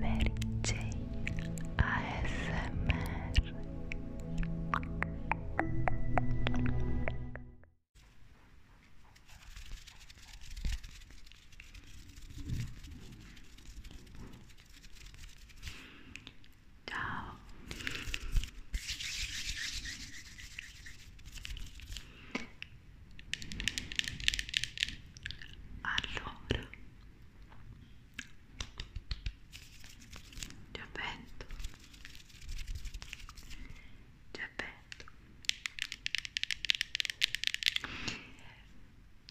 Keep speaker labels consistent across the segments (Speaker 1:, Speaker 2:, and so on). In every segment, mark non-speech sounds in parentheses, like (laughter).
Speaker 1: Mary J ASMR Ciao allora Geppetto Geppetto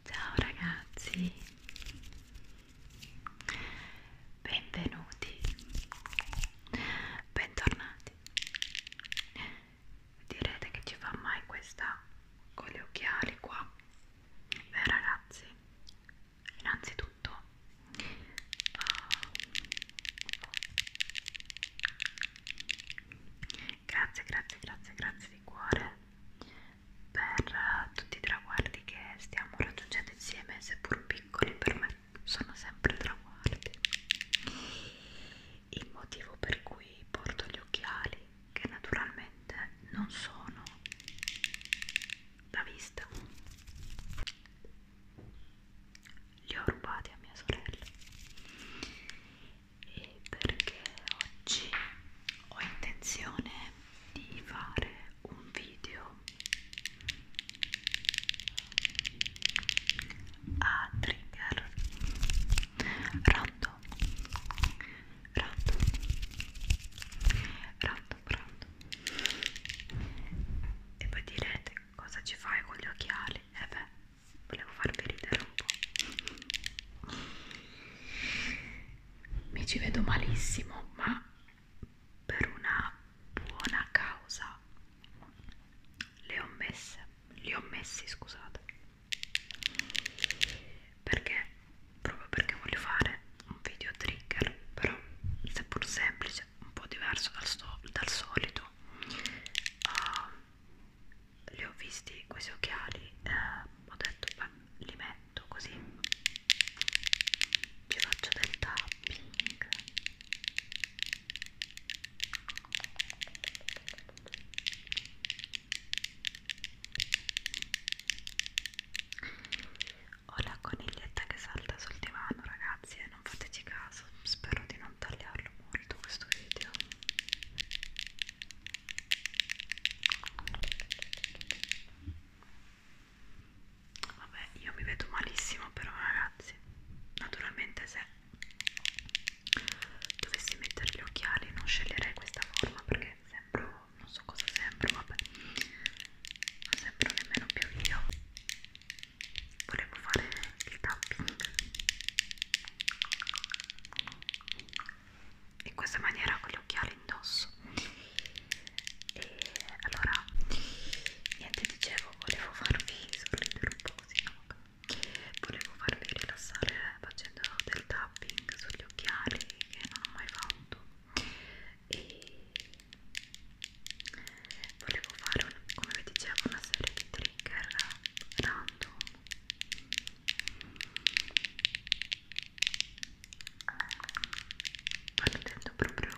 Speaker 1: Ciao ragazzi Benvenuti Bentornati direte che ci fa mai questa con gli occhiali qua beh ragazzi innanzitutto uh, grazie grazie grazie grazie di cuore per uh, tutti i traguardi che stiamo raggiungendo insieme seppur piccoli per me sono sempre traguardi il motivo per cui porto gli occhiali che naturalmente non sono da vista li ho rubati a mia sorella e perché oggi ho intenzione di fare un video a trigger random random random random e poi direte cosa ci fai con gli occhiali e eh beh volevo farvi ridere un po' mi ci vedo malissimo ma per una buona causa le ho messe li ho messi scusate perché proprio perché voglio fare un video trigger però seppur semplice un po' diverso dal, so dal solito uh, li ho visti questi occhiali eh, ho detto beh, li metto così ci faccio del tapping ho la coniglietta che salta sul divano, ragazzi, e non fateci caso. Spero di non tagliarlo molto questo video. Vabbè, io mi vedo malissimo, però, ragazzi. Naturalmente, se dovessi mettere gli occhiali, non sceglierei questa forma perché sembro, non so cosa sembro, vabbè, non sembro nemmeno più io. Volevo fare il tapping in questa maniera con gli occhiali indosso. E allora, niente, dicevo, volevo farvi sorridere un po' così, no? volevo farvi rilassare facendo del tapping sugli occhiali che non ho mai fatto e volevo fare un, come vi dicevo una serie di trigger random partendo proprio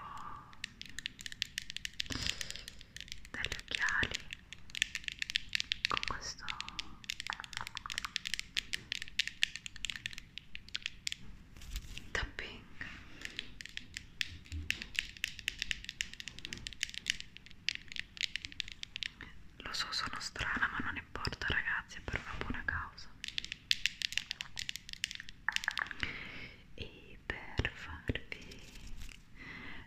Speaker 1: dagli occhiali con questo tapping lo so sono strana ma non importa ragazzi è per una buona causa e per farvi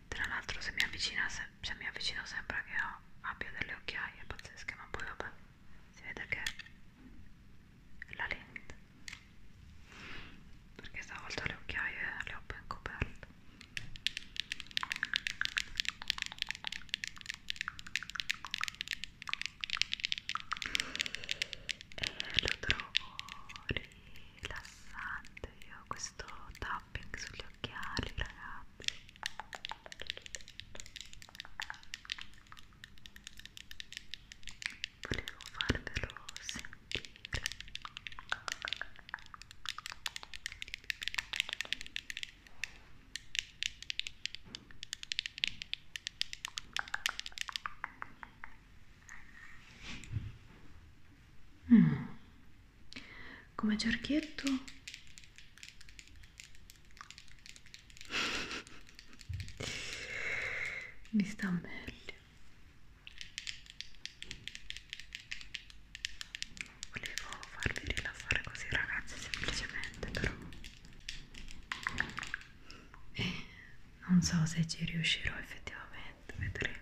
Speaker 1: tra l'altro se mi avvicinasse se cioè, mi avvicino sembra che ho, abbia delle occhiaie pazzesche ma poi vabbè si vede che è la limit perché stavolta le occhiaie le ho ben coperte e lo trovo rilassante io questo tapping sugli occhiali ragazzi volevo farvelo sentire Mm. Come cerchietto mi sta meglio volevo farvi rilassare così ragazzi semplicemente però e eh, non so se ci riuscirò effettivamente vedremo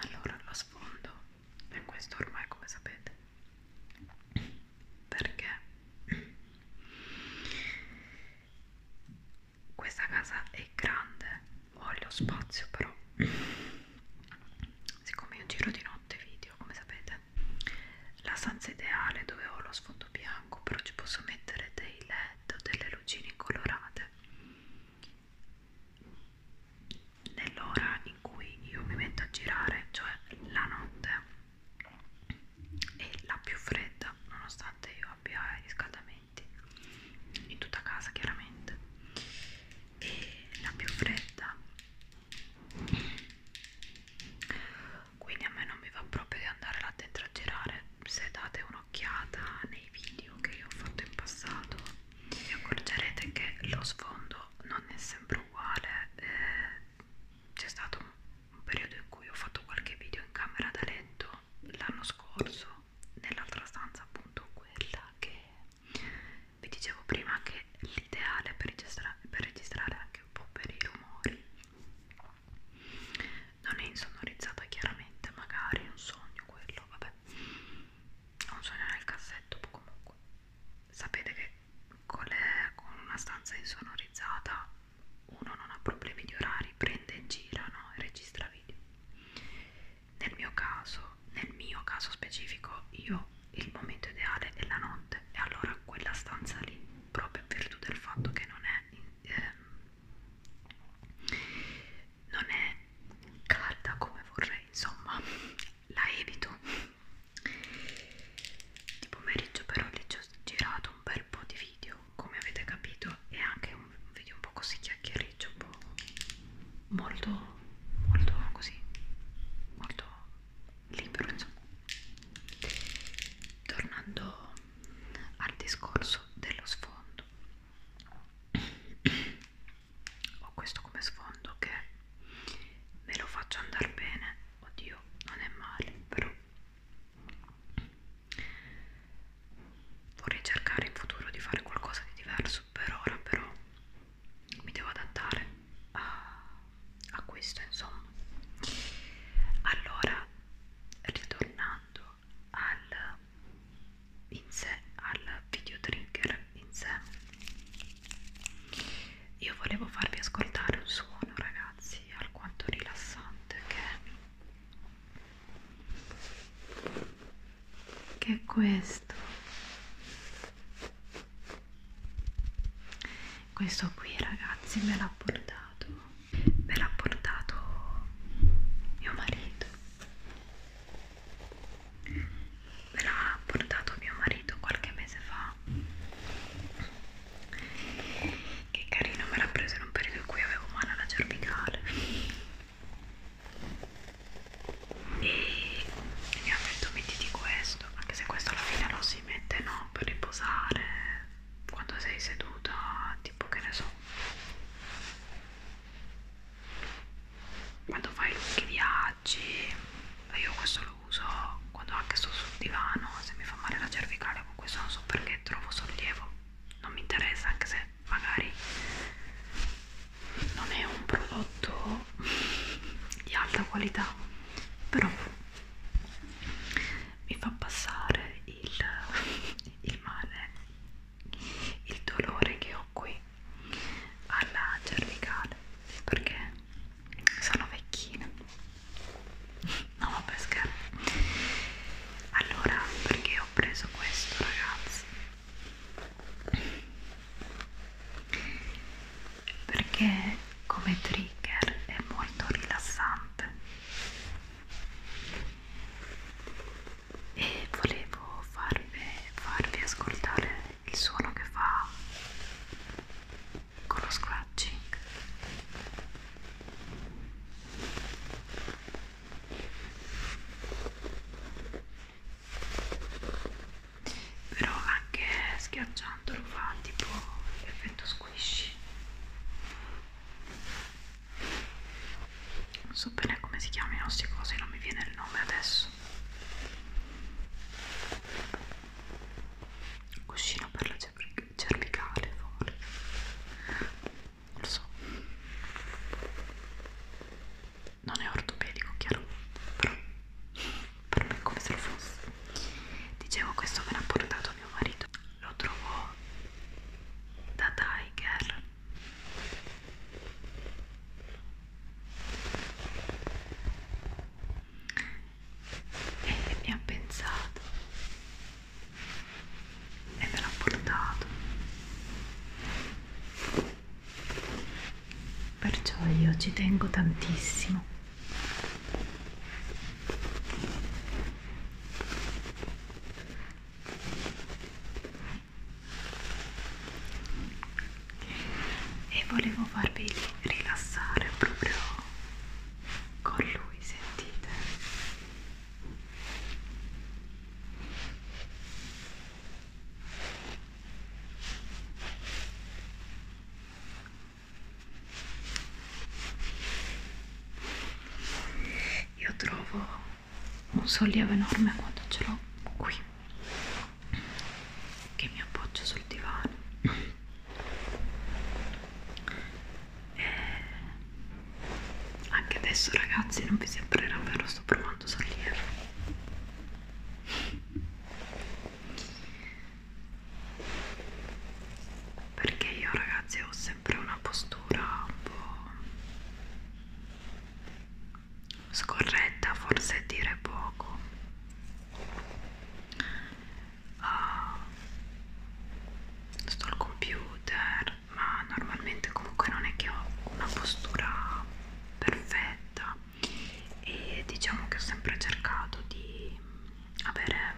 Speaker 1: allora lo sfondo e questo ormai come sapete perché questa casa è grande voglio spazio però siccome io giro di notte video come sapete la stanza ideale dove ho lo sfondo bianco però ci posso mettere dei led o delle lucine colorate nell'ora in cui io mi metto a girare cioè la notte è la più fredda nonostante io abbia i riscaldamenti in tutta casa chiaramente e la più fredda quindi a me non mi va proprio di andare là dentro a girare se date un'occhiata nei video che io ho fatto in passato vi accorgerete che lo sfondo non è sempre uguale eh, c'è stato un, un periodo in cui ho fatto qualche video in camera da letto l'anno scorso nell'altra stanza appunto quella che vi dicevo prima che l'ideale per, per registrare anche un po' per i rumori non è insonorizzata chiaramente magari è un sogno quello vabbè ho un sogno nel cassetto comunque sapete che con, le, con una stanza insonorizzata uno non ha problemi di orari, prende e gira no? e registra video. Nel mio caso, nel mio caso specifico, io il momento ideale è la notte e allora quella stanza lì, proprio in virtù del fatto che non è, eh, non è calda come vorrei, insomma, la evito di pomeriggio però lì ho girato un bel po' di video come avete capito e anche un video un po' così chiacchiereggio un po' molto molto così molto libero insomma tornando al discorso dello sfondo ho questo come sfondo che me lo faccio andare bene oddio non è male però vorrei cercare in futuro di fare qualcosa di diverso per ora però mi devo adattare a, a questo insomma allora ritornando al in sé al video trigger in sé io volevo farvi ascoltare un suono ragazzi alquanto rilassante che, che è questo questo qui ragazzi me l'ha portato me l'ha portato mio marito me l'ha portato mio marito qualche mese fa che carino me l'ha preso in un periodo in cui avevo male alla cervicale e mi ha detto mettiti questo anche se questo alla fine lo si mette no per riposare quando sei seduta tipo che ne so quando fai lunghi viaggi io questo lo uso quando anche sto sul divano se mi fa male la cervicale con questo non so perché trovo sollievo non mi interessa anche se magari non è un prodotto di alta qualità però mi fa passare il, il male il dolore che ho qui alla cervicale perché sono vecchina no vabbè scherzo allora perché ho preso questo ragazzi perché come trigger è molto rilassante e volevo farvi, farvi ascoltare il suono che fa con lo scratching però anche schiacciandolo fa tipo l'effetto squishy non so bene come si chiamino queste cose non mi viene il nome adesso cuscino per la cervic cervicale forse non lo so non è ortopedico chiaro però per me è come se lo fosse dicevo questo me l'ha portato mio marito lo trovo da Tiger e mi ha pensato e me l'ha portato perciò io ci tengo tantissimo e volevo farvi rilassare proprio con lui, sentite. Io trovo un sollievo enorme quando ce l'ho qui che mi appoggio sul divano e eh, anche adesso ragazzi non vi sembrerà vero sto provando sollievo perché io ragazzi ho sempre una postura un po' scorretta forse dire poco uh, sto al computer ma normalmente comunque non è che ho una postura perfetta e diciamo che ho sempre cercato di avere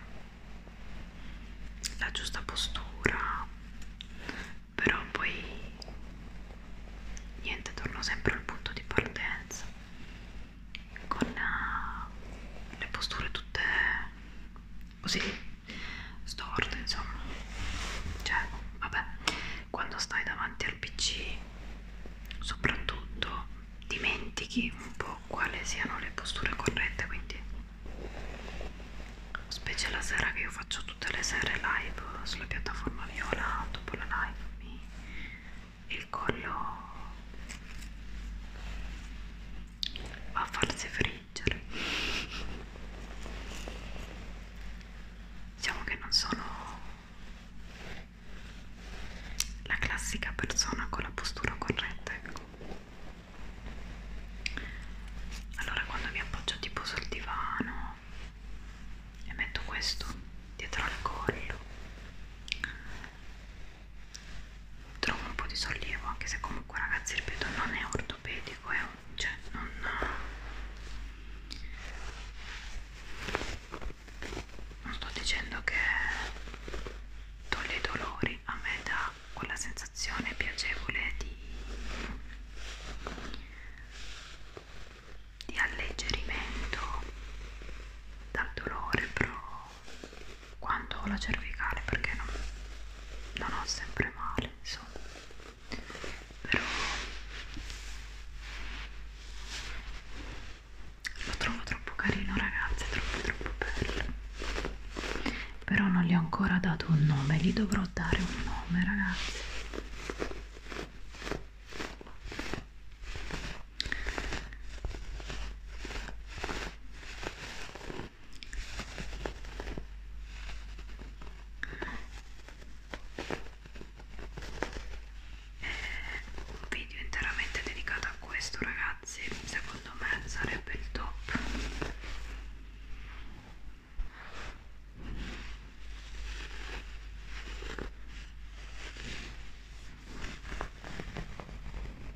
Speaker 1: la giusta postura però poi niente torno sempre al punto di partenza con uh, le posture tutte così storte insomma cioè vabbè quando stai davanti al pc soprattutto dimentichi un po' quali siano le posture corrette quindi specie la sera che io faccio tutte le sere live sulla piattaforma viola dopo la live mi, il collo va a farsi friggere diciamo che non sono la classica persona con la postura corretta ecco allora quando mi appoggio tipo sul divano e metto questo dietro al collo trovo un po' di sollievo anche se comunque ragazzi ripeto non è ortopedico è un, cioè non non sto dicendo che toglie i dolori a me dà quella sensazione piacevole di di alleggerimento dal dolore però quando ho la cervicale perché non, non ho sempre male insomma però lo trovo troppo carino ragazzi troppo troppo bello però non gli ho ancora dato un nome gli dovrò dare un nome ragazzi un video interamente dedicato a questo ragazzi secondo me sarebbe il top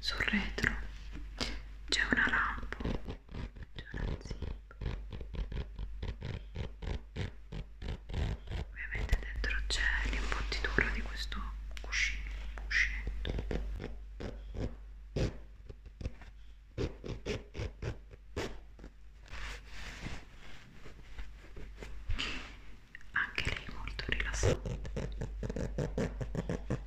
Speaker 1: sul retro c'è una lampo c'è una zip ovviamente dentro c'è l'imbottitura di questo cuscino cuscetto anche lei molto rilassante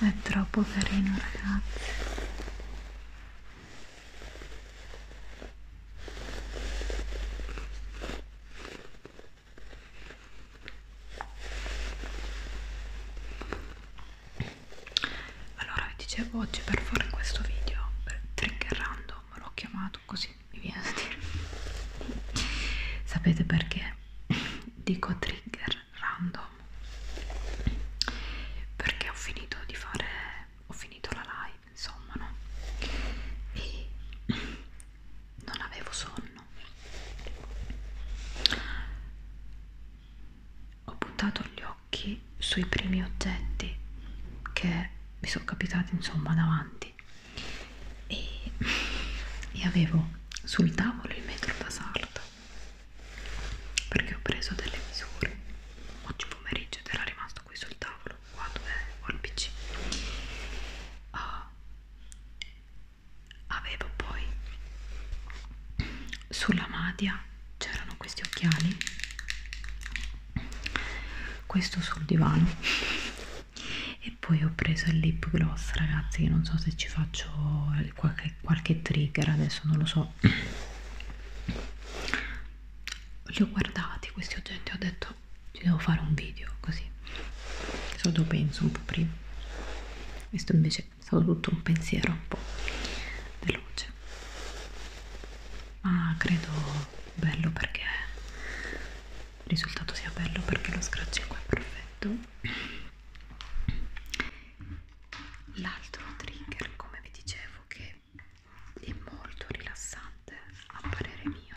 Speaker 1: è troppo carino ragazzi allora vi dicevo oggi per fare questo video per trigger random l'ho chiamato così mi viene a dire sapete perché (clears throat) dico trigger random perché ho finito di fare ho finito la live insomma no e (clears throat) non avevo sonno ho buttato gli occhi sui primi oggetti che mi sono capitati insomma davanti e, (clears throat) e avevo sul tavolo il metro da sarta perché ho preso delle misure oggi pomeriggio ed era rimasto qui sul tavolo qua dove ho il pc uh, ah, avevo poi sulla madia c'erano questi occhiali questo sul divano e poi ho preso il lip gloss ragazzi non so se ci faccio qualche, qualche trigger adesso non lo so però li ho guardati questi oggetti ho detto ci devo fare un video così solo penso un po' prima questo invece è stato tutto un pensiero un po' veloce ma credo bello perché il risultato sia bello perché lo scratching è perfetto l'altro trigger come vi dicevo che è molto rilassante a parere mio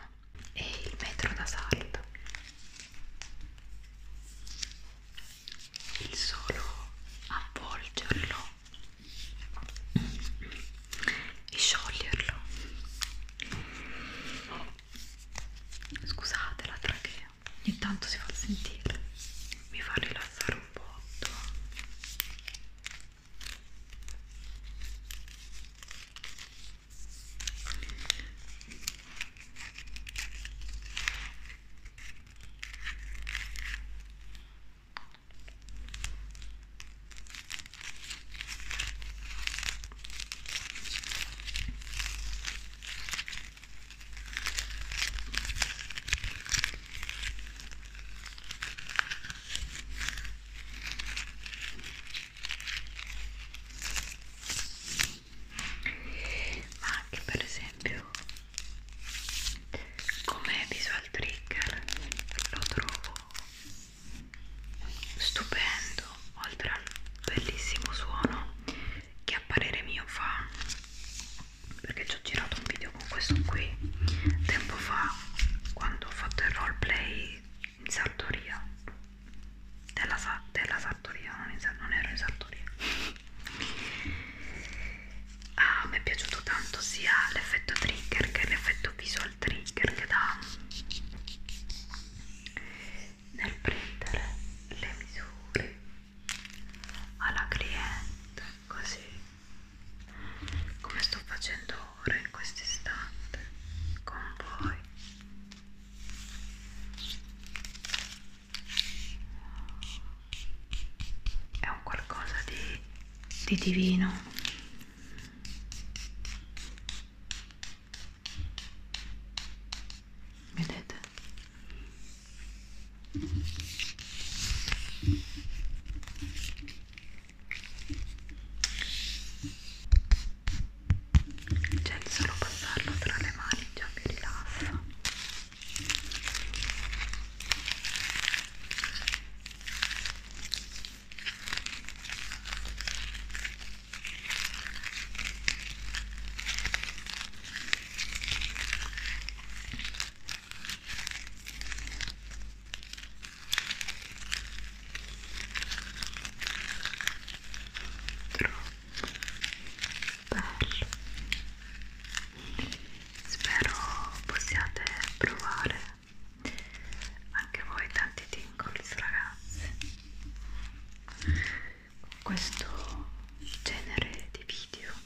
Speaker 1: è il metro da salto il solo avvolgerlo e scioglierlo scusate la trachea ogni tanto si fa sentire mi fa rilassare un po' ma anche per esempio come visual trigger lo trovo stupendo oltre al bellissimo suono che a parere mio fa perché ci ho girato un video con questo qui tempo fa quando ho fatto il roleplay in sartoria della, sa della sartoria non, in, non ero in sartoria (laughs) ah, mi è piaciuto tanto sia l'effetto trigger che l'effetto visual trigger che dà nel prendere le misure alla cliente così come sto facendo ora in questo istante con voi è un qualcosa di, di divino vedete cioè solo passarlo tra le mani già mi rilassa troppo bello spero possiate provare anche voi tanti tingles ragazze con questo genere di video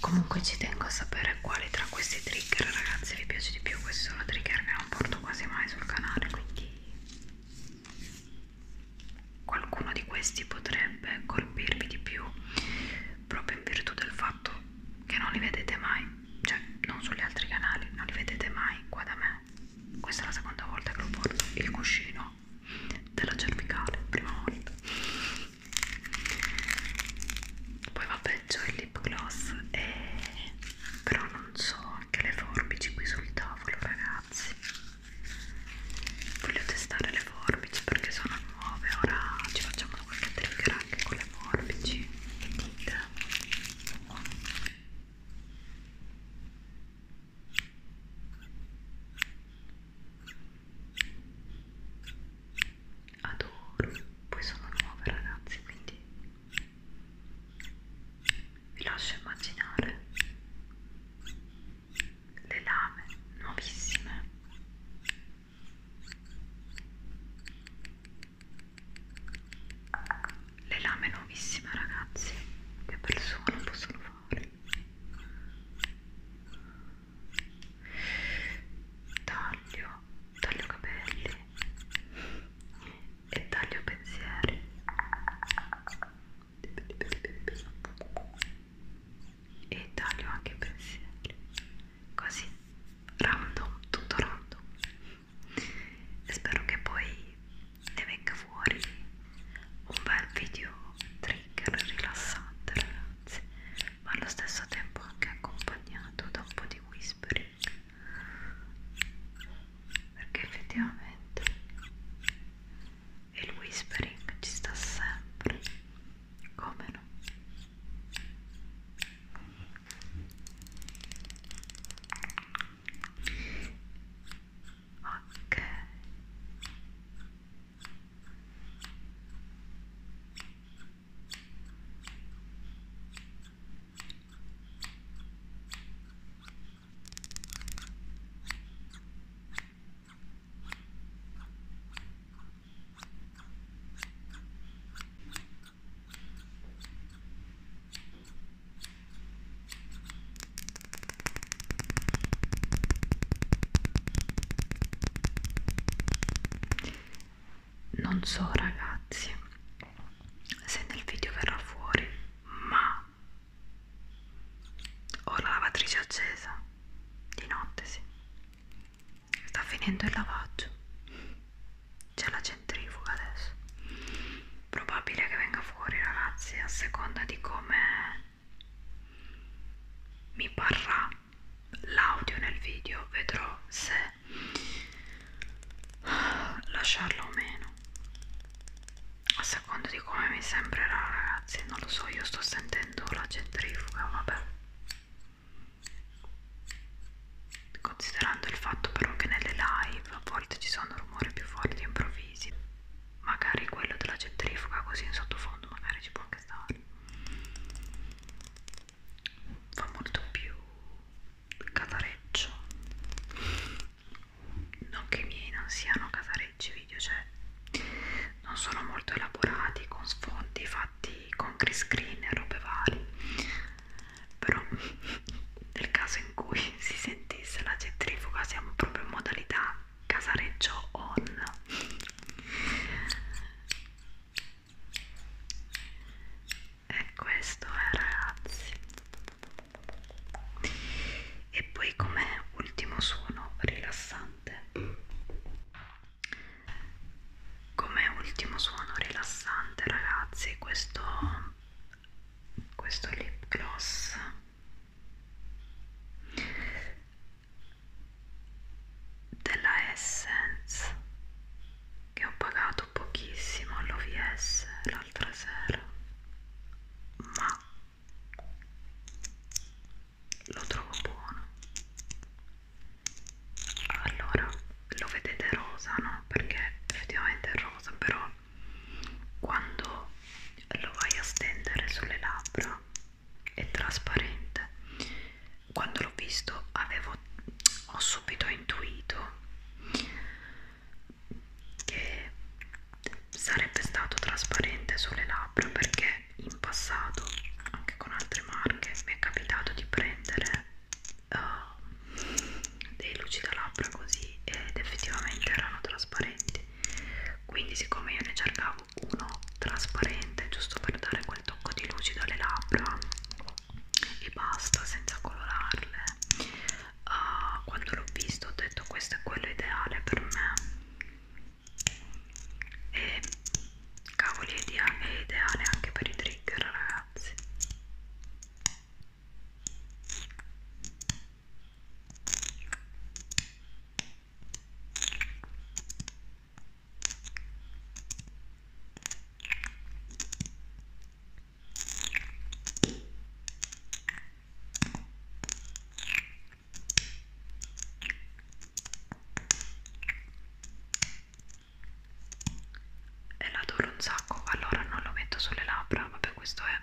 Speaker 1: Comunque ci tengo a sapere quale tra questi trigger ragazzi vi piace di più, questi sono trigger che non porto quasi mai sul canale, quindi qualcuno di questi potrebbe colpirvi di più proprio in virtù del fatto che non li vedete mai, cioè non sugli altri canali, non li vedete mai qua da me. Questa è la seconda volta che lo porto, il cuscino della cervicale, prima volta. Poi vabbè c'ho il lip gloss e però non so anche le forbici qui sul tavolo ragazzi voglio testare le forbici perché sono nuove ora ci facciamo qualche trigger anche con le forbici adoro poi sono nuove ragazzi quindi vi lascio immaginare le lame nuovissime le lame nuovissime ragazzi, che bel suono possono fare. Taglio, taglio capelli e taglio pensieri e taglio anche i pensieri così random tutto random e spero che poi ne venga fuori un bel video trigger rilassante ragazzi ma allo stesso tempo anche accompagnato da un po' di whispering perché effettivamente il whispering ci sta sempre come no ok non so ragazzi se nel video verrà fuori, ma ho la lavatrice accesa di notte, sì sta finendo il lavaggio c'è la centrifuga adesso probabile che venga fuori ragazzi a seconda di come mi parrà l'audio nel video vedrò se lasciarlo o meno a seconda di come mi sembrerà ragazzi non lo so io sto sentendo la centrifuga vabbè Considerando il fatto però che nelle live a volte ci sono rumori più forti e improvvisi, magari quello della centrifuga così in sottofondo magari ci può anche stare. Fa molto più casareccio. Non che i miei non siano casarecci video, cioè non sono molto elaborati con sfondi fatti fatti con green screen e robe varie però (laughs) nel caso in cui si sentisse la centrifuga siamo proprio in modalità casareggio on e questo è ragazzi e poi come ultimo suono rilassante come ultimo suono rilassante ragazzi questo questo lip gloss della Essence che ho pagato pochissimo all'OVS l'altra sera ma lo trovo buono allora lo vedete rosa no perché effettivamente è rosa però quando lo vai a stendere sulle labbra è trasparente quando l'ho visto avevo ho subito intuito che sarebbe stato trasparente sulle labbra perché in passato anche con altre marche mi è capitato di prendere uh, dei lucidalabbra così ed effettivamente erano trasparenti quindi siccome io ne cercavo uno trasparente giusto per dare quel tocco di lucido alle labbra e basta senza colorarle uh, quando l'ho visto ho detto questo è quello ideale per me e cavoli è, è ideale anche per i trigger ragazzi e l'adoro un sacco allora non lo metto sulle labbra vabbè questo è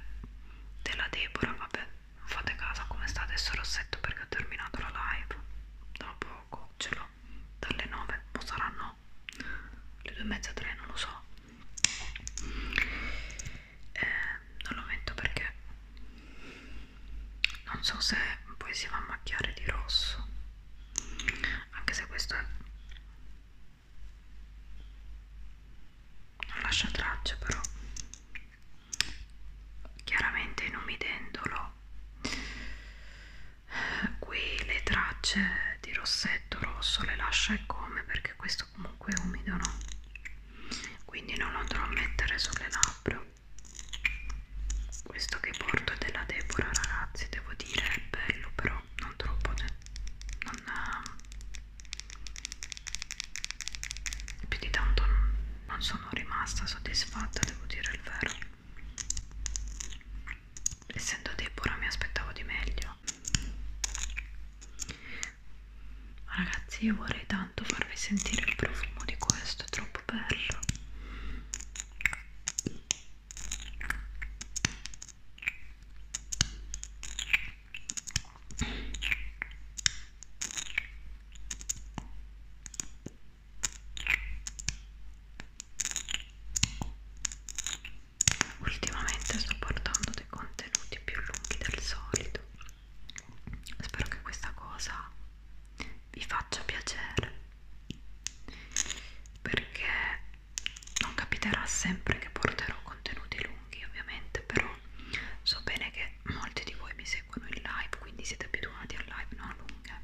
Speaker 1: della Deborah vabbè non fate caso come sta adesso rossetto perché ho terminato la live da poco ce l'ho dalle 9 o saranno le 2 e mezza 3 non lo so eh, non lo metto perché non so se poi si va a macchiare di rosso anche se questo è... non lascia traccia però chiaramente inumidendolo qui le tracce di rossetto rosso le lascia e come perché questo comunque è umido no quindi non lo andrò a mettere sulle labbra questo che porto è della Deborah ragazzi devo dire è bello però non troppo cioè, non eh, più di tanto non sono rimasta soddisfatta devo dire il vero essendo Deborah mi aspettavo di meglio ragazzi io vorrei tanto farvi sentire il profumo di questo è troppo bello Ultimamente sto portando dei contenuti più lunghi del solito. Spero che questa cosa vi faccia piacere perché non capiterà sempre che porterò contenuti lunghi ovviamente però so bene che molti di voi mi seguono in live quindi siete abituati a live non lunghe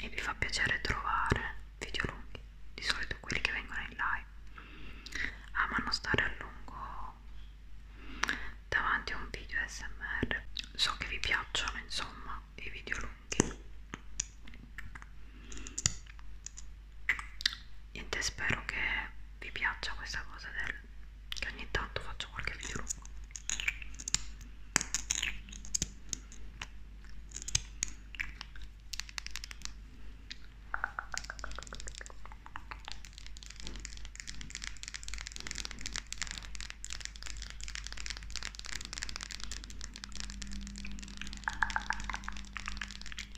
Speaker 1: e vi fa piacere trovare video lunghi di solito quelli che vengono in live amano stare a lungo davanti a un video smr so che vi piacciono insomma ama i video lunghi niente spero che vi piaccia questa cosa del che ogni tanto faccio qualche video lungo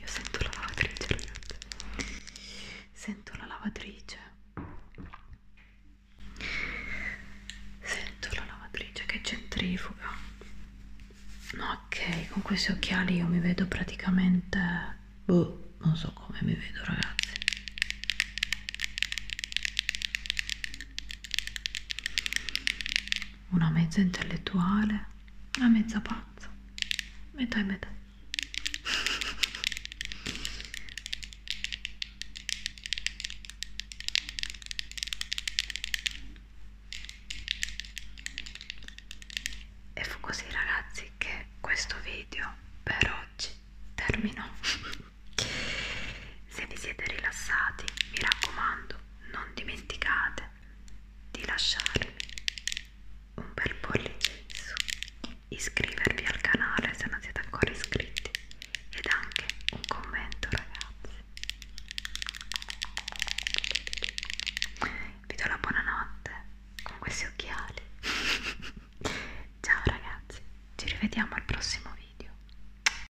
Speaker 1: io sento la lavatrice, ragazzi. Sento la lavatrice. Sento la lavatrice che centrifuga. Ok, con questi occhiali io mi vedo praticamente... Boh, non so come mi vedo, ragazzi una mezza intellettuale, una mezza pazza, metà e metà. E fu così ragazzi che questo video per oggi terminò. Se vi siete rilassati, mi raccomando, non dimenticate di lasciarmi un bel pollice in su, iscrivervi al canale se non siete ancora iscritti ed anche un commento ragazzi. Vi do la buonanotte con questi occhiali. (laughs) Ciao ragazzi, ci rivediamo al prossimo video.